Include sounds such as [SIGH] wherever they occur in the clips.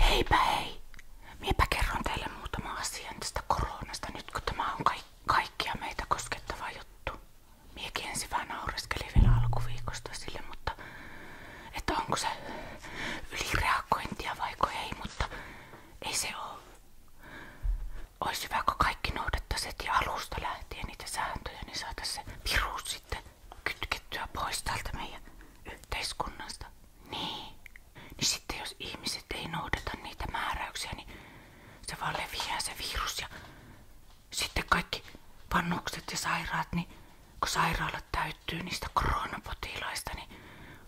Heipä hei! Miepä kerron teille muutama asia tästä koronasta nyt, kun tämä on kaik- kaikkia meitä koskettava juttu. Miekin ensin vähän naureskelin vielä alkuviikosta sille, mutta että onko se ylireagointia vaiko ei, mutta ei se ole. Ois hyvä, kun kaikki noudattaiset ja alusta lähtien niitä sääntöjä, niin saataisiin se virus sitten kytkettyä pois täältä meidän yhteiskunnasta. Niin. Niin sitten jos ihmiset ei noudata niitä määräyksiä, niin se vaan leviää se virus ja sitten kaikki vannukset ja sairaat, niin kun sairaalat täyttyy niistä koronapotilaista, niin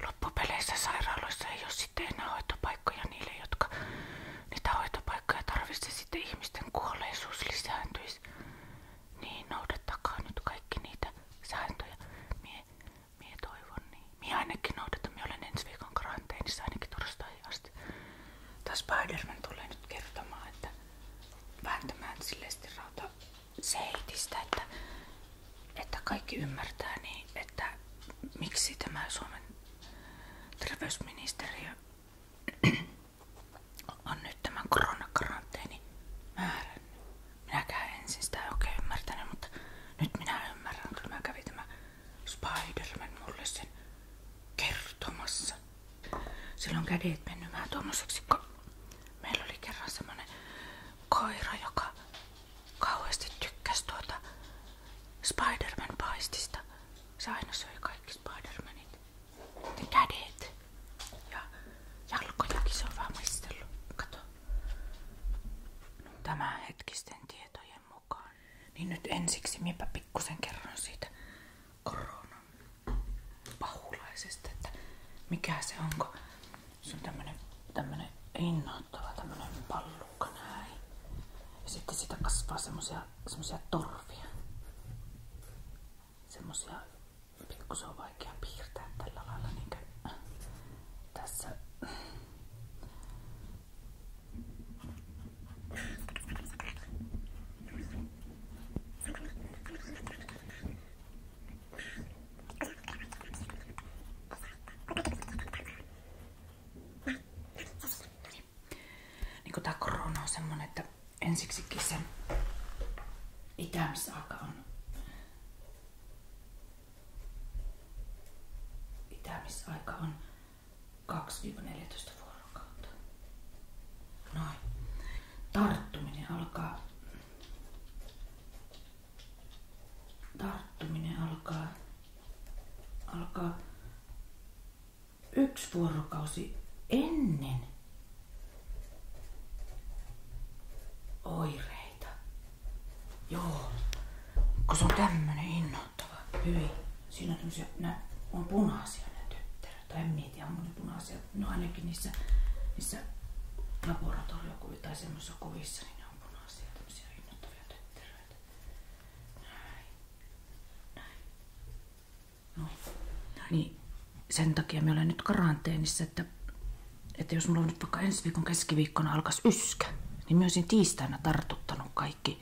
loppupeleissä sairaaloissa ei ole sitten enää hoitopaikkoja niille, jotka niitä hoitopaikkoja tarvitsee. Sitten ihmisten kuolleisuus lisääntyisi niin noudattakaa nyt kaikki niitä sääntöjä. Mie, mie toivon niin. Mie ainakin noudatan, mie olen ensi viikon karanteenissa ainakin torstaihin asti. Tää Spiderman tulee nyt kertomaan, että vääntämään silleesti rauta seitistä, että, että kaikki ymmärtää niin, että miksi tämä Suomen terveysministeriö on nyt tämän koronakaranteeni määrännyt. Minäkään ensin sitä siis ei oikein mutta nyt minä ymmärrän, kun mä kävin tämä Spiderman mulle sen Silloin kädet mennyt vähän kun meillä oli kerran semmonen koira, joka kauheasti tykkäsi tuota Spiderman paistista. Se aina söi kaikki Spidermanit. Ne kädet. Ja jalkojakin se on vaan maistellut. Kato. No, Tämä hetkisten tietojen mukaan. Niin nyt ensiksi minäpä pikkusen kerron siitä koronan pahulaisesta, että mikä se onko. Se on tämmönen, tämmönen innoittava tämmönen pallukka näin. Ja sitten sitä kasvaa semmosia, semmosia torvia. Semmosia pikkusen on vaikea piirtää tällä lailla niin kuin tässä. Niin tää korona on semmonen, että ensiksikin sen itämisaika on itämisaika on 2-14 vuorokautta. Noin. Tarttuminen alkaa tarttuminen alkaa alkaa yksi vuorokausi ennen Oireita. Joo. Kun se on tämmönen innoittava. Hyi. Siinä on tämmösiä, nä, on punaisia ne tyttäret. Tai en mietiä, on ne punaisia. No ainakin niissä, niissä laboratoriokuvissa tai semmoisissa kuvissa, niin ne on punaisia, tämmöisiä innoittavia tötteröitä. Näin. Näin. No. Niin, no niin sen takia me olen nyt karanteenissa, että, että jos mulla on nyt vaikka ensi viikon keskiviikkona alkas yskä, niin mä tiistaina tartuttanut kaikki,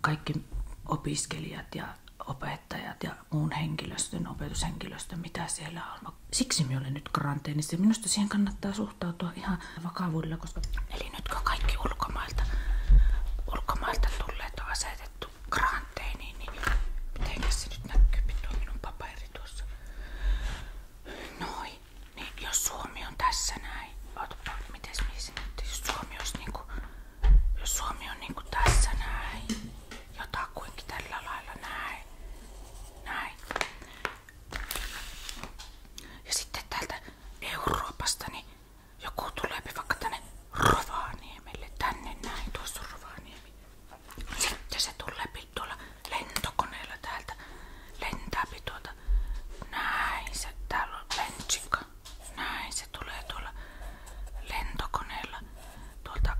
kaikki opiskelijat ja opettajat ja muun henkilöstön, opetushenkilöstön, mitä siellä on. Siksi minä olen nyt karanteenissa ja minusta siihen kannattaa suhtautua ihan vakavuudella, koska eli nyt kun kaikki ulkomailta, ulkomailta tulleet on asetettu karanteeniin, karanteeniin, niin, niin mitenkä se nyt näkyy tuo minun paperi tuossa? Noin. Niin jos Suomi on tässä näin. Ootapa, miten se Jos Suomi olisi niinku, jos Suomi on niinku tässä näin. Jotakuinkin tällä lailla näin. Näin. Ja sitten täältä Euroopasta niin joku tulee vaikka tänne Rovaniemelle. Tänne näin. Tuossa on Rovaniemi. Sitten se tulee tuolla lentokoneella täältä. Lentääpi tuota. Näin se. Täällä on lentsikka. Näin se tulee tuolla lentokoneella. Tuolta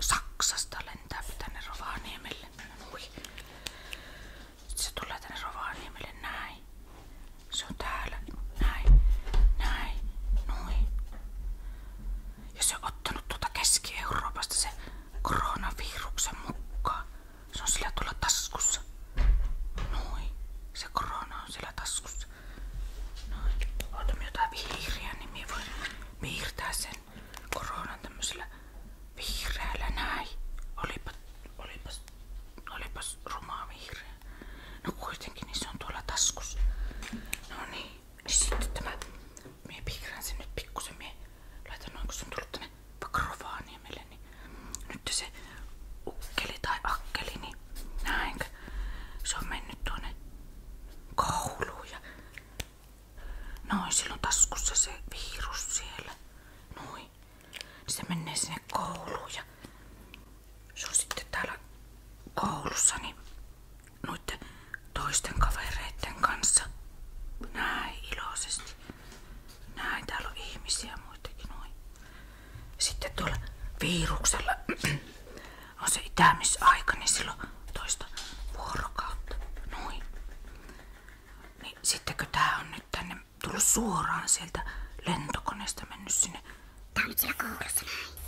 Saksasta lentääpi tänne Rovaniemelle. Ui. Sitten se tulee tänne Rovaniemelle. Näin. Se on täällä. Näin. Näin. Noin. Ja se on ottanut tuota Keski-Euroopasta se koronaviruksen mukaan. Se on sillä tuolla taskussa. Noin. Se korona on sillä taskussa. Noin. Otamme jotain vihreää, niin minä voin piirtää sen koronan tämmöisellä vihreällä näin. Olipa, olipas, olipas rumaa vihreä. No kuitenkin, niin se on tuolla taskussa. No niin. Sitten tämä, minä piirrän sen nyt pikkusen, minä laitan noin kun se on tullut tänne vaikka Rovaniemelle, niin nyt se ukkeli tai akkeli, niin näinkö, se on mennyt tuonne kouluun ja noin, sillä on taskussa se virus siellä, noin, niin se menee sinne kouluun ja se on sitten täällä koulussa, niin noiden toisten kavereiden kanssa. Näin iloisesti. Näin täällä on ihmisiä muitakin noin. Sitten tuolla viiruksella [CLEARS THROAT] on se itämisaika, niin silloin toista vuorokautta. Noin. Niin sittenkö tää on nyt tänne tullut suoraan sieltä lentokoneesta mennyt sinne? Tää on siellä koulussa näin.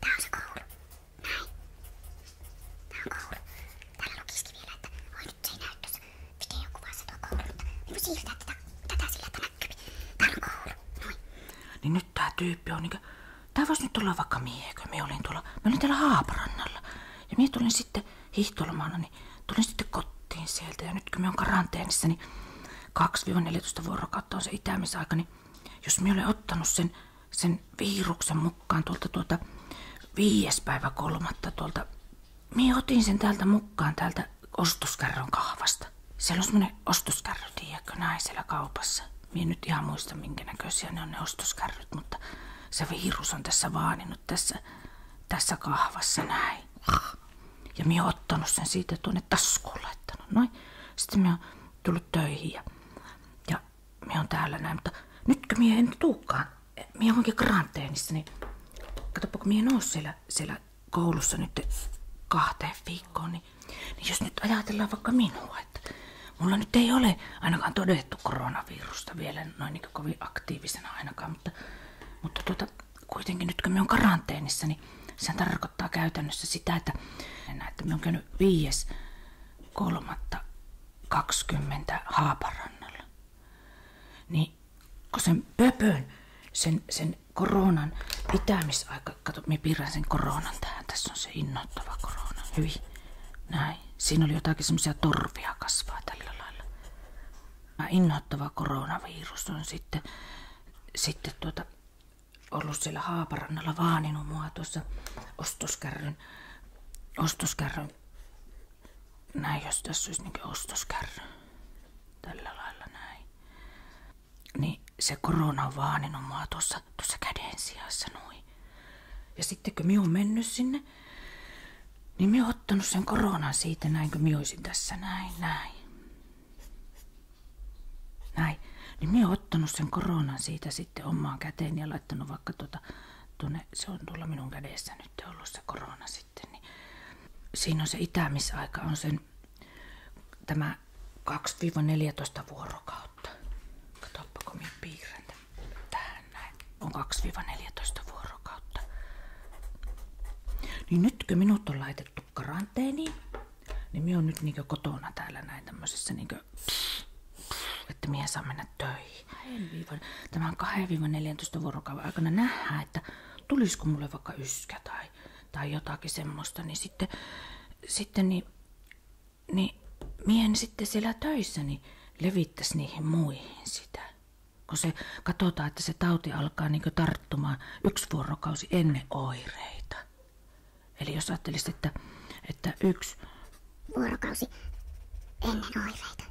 Tää on se koulu. Näin. on nyt se ei näy niin siirtää että näkyy. on nyt tää tyyppi on vois nyt olla vaikka mie, me olin tuolla... Me olin täällä Haaparannalla. Ja mie tulin sitten hiihtolomana, niin tulin sitten kotiin sieltä. Ja nyt kun me on karanteenissa, niin 2-14 vuorokautta on se itämisaika, niin jos me olen ottanut sen sen viiruksen mukaan tuolta tuolta viides päivä kolmatta tuolta. Mie otin sen täältä mukaan täältä ostoskärrön kahvasta. Siellä on semmonen ostoskärry, tiedätkö, naisella kaupassa. Mie nyt ihan muista minkä näköisiä ne on ne ostoskärryt, mutta se viirus on tässä vaaninut tässä, tässä kahvassa näin. Ja minä ottanut sen siitä tuonne taskuun laittanut, noin. Sitten minä oon tullut töihin ja, ja minä olen täällä näin, mutta nytkö minä en tuukaan, minä onkin karanteenissa, niin katsoppa kun minä en ole siellä, siellä koulussa nyt kahteen viikkoon, niin, niin jos nyt ajatellaan vaikka minua, että mulla nyt ei ole ainakaan todettu koronavirusta vielä noin niin kovin aktiivisena ainakaan, mutta, mutta tuota, kuitenkin nyt kun me on karanteenissa, niin se tarkoittaa käytännössä sitä, että, että me on käynyt viides kolmatta 20 Haaparannalla. Niin kun sen pöpön, sen, sen koronan pitämisaika, kato, minä piirrän sen koronan tähän, tässä on se innoittava korona, hyvin, näin. Siinä oli jotakin semmoisia torvia kasvaa tällä lailla. Innoittava koronavirus on sitten, sitten tuota, ollut siellä Haaparannalla vaaninut mua tuossa ostoskärryn, ostoskärryn. Näin, jos tässä olisi niin ostoskärry. Tällä lailla näin. Niin se korona on vaaninut mua tuossa, tuossa käden sijassa noin. Ja sitten kun minä olen mennyt sinne, niin minä olen ottanut sen koronan siitä näin, kun minä olisin tässä näin, näin. Näin. Niin minä ottanut sen koronan siitä sitten omaan käteen ja laittanut vaikka tuota, tuonne, se on tuolla minun kädessä nyt ollut se korona sitten. Niin siinä on se itämisaika, on sen tämä 2-14 vuorokautta. Katoppa, kun minä piirrän tähän näin. On 2-14 vuorokautta. Niin nytkö minut on laitettu karanteeniin, niin minä on nyt niinkö kotona täällä näin tämmöisessä niinkö että minä saa mennä töihin. Tämän 2-14 vuorokauden aikana nähdään, että tulisiko mulle vaikka yskä tai, tai jotakin semmoista, niin sitten, sitten niin, niin mien sitten siellä töissä niin levittäisi niihin muihin sitä. Kun se katsotaan, että se tauti alkaa niin tarttumaan yksi vuorokausi ennen oireita. Eli jos ajattelisit, että, että yksi vuorokausi ennen oireita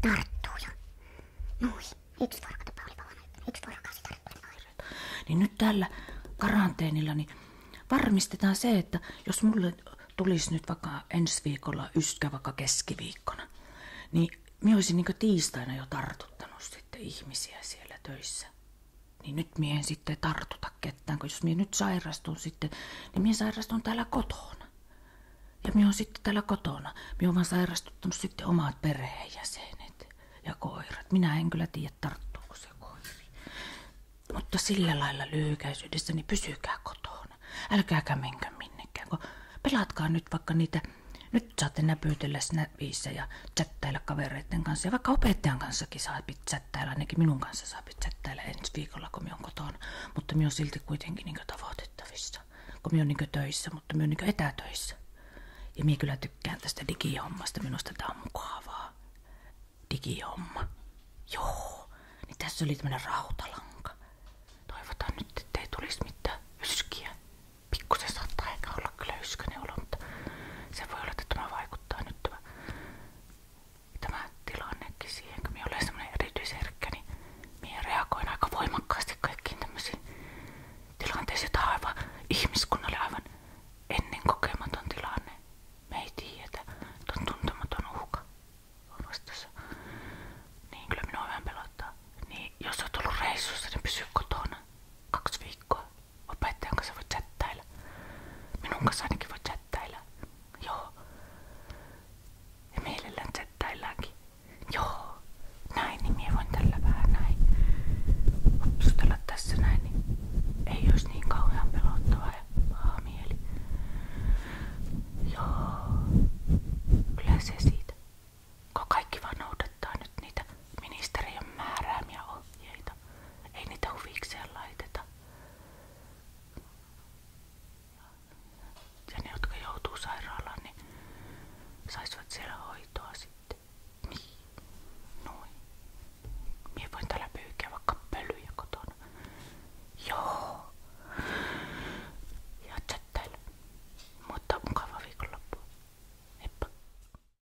tarttuu jo. Noin, yksi vuorokausi oli pahana, yksi vuorokausi tarttuu oireita. Niin nyt tällä karanteenilla niin varmistetaan se, että jos mulle tulisi nyt vaikka ensi viikolla yskä vaikka keskiviikkona, niin minä olisin niin tiistaina jo tartuttanut sitten ihmisiä siellä töissä niin nyt mie sitten tartuta ketään, kun jos mie nyt sairastun sitten, niin mie sairastun täällä kotona. Ja minä on sitten täällä kotona. Minä olen sairastuttanut sitten omat perheenjäsenet ja koirat. Minä en kyllä tiedä, tarttuuko se koiri. Mutta sillä lailla lyhykäisyydessä, niin pysykää kotona. Älkääkä menkö minnekään, kun pelatkaa nyt vaikka niitä. Nyt saatte näpytellä snapissa ja chattailla kavereiden kanssa. Ja vaikka opettajan kanssakin saa chattailla, ainakin minun kanssa saa chattailla ensi viikolla, kun minä olen kotona. Mutta minä olen silti kuitenkin niin tavoitettavissa, kun minä olen niin töissä, mutta minä olen niin etätöissä. Ja minä kyllä tykkään tästä digihommasta, minusta tämä on mukavaa. Digihomma. Joo, niin tässä oli tämmöinen rautalanka. Toivotaan nyt, ettei tulisi mitään yskiä. Pikkusen saattaa eikä olla kyllä yskäinen olo, se voi olla, että tämä vaikuttaa nyt tämä, tämä tilannekin siihen, kun minä olen semmoinen erityisherkkä, niin minä reagoin aika voimakkaasti kaikkiin tämmöisiin tilanteisiin. Tämä on aivan ihmiskunnalle aivan ennen kokematon tilanne. Me ei tiedetä, että on tuntematon uhka on vastassa. Niin kyllä minua vähän pelottaa. Niin jos olet ollut reissussa, niin pysy kotona kaksi viikkoa. Opettajan kanssa voi chattailla. Minun kanssa ainakin voi chattailla. Joo. Ja mielellään chattaillaankin. Joo. Näin, niin minä voin tällä vähän näin. Vapsutella tässä näin, niin ei olisi niin kauhean pelottavaa ja paha mieli. Joo. Kyllä se siitä. Kun kaikki vaan noudattaa nyt niitä ministeriön määräämiä ohjeita. Ei niitä huvikseen laiteta. Ja ne, jotka joutuu sairaalaan, niin saisivat siellä hoitoa sitten. Niin. Noin. Mie voin täällä pyykiä vaikka pölyjä kotona. Joo. Ja chattailla. Mutta mukava viikonloppu. Heippa.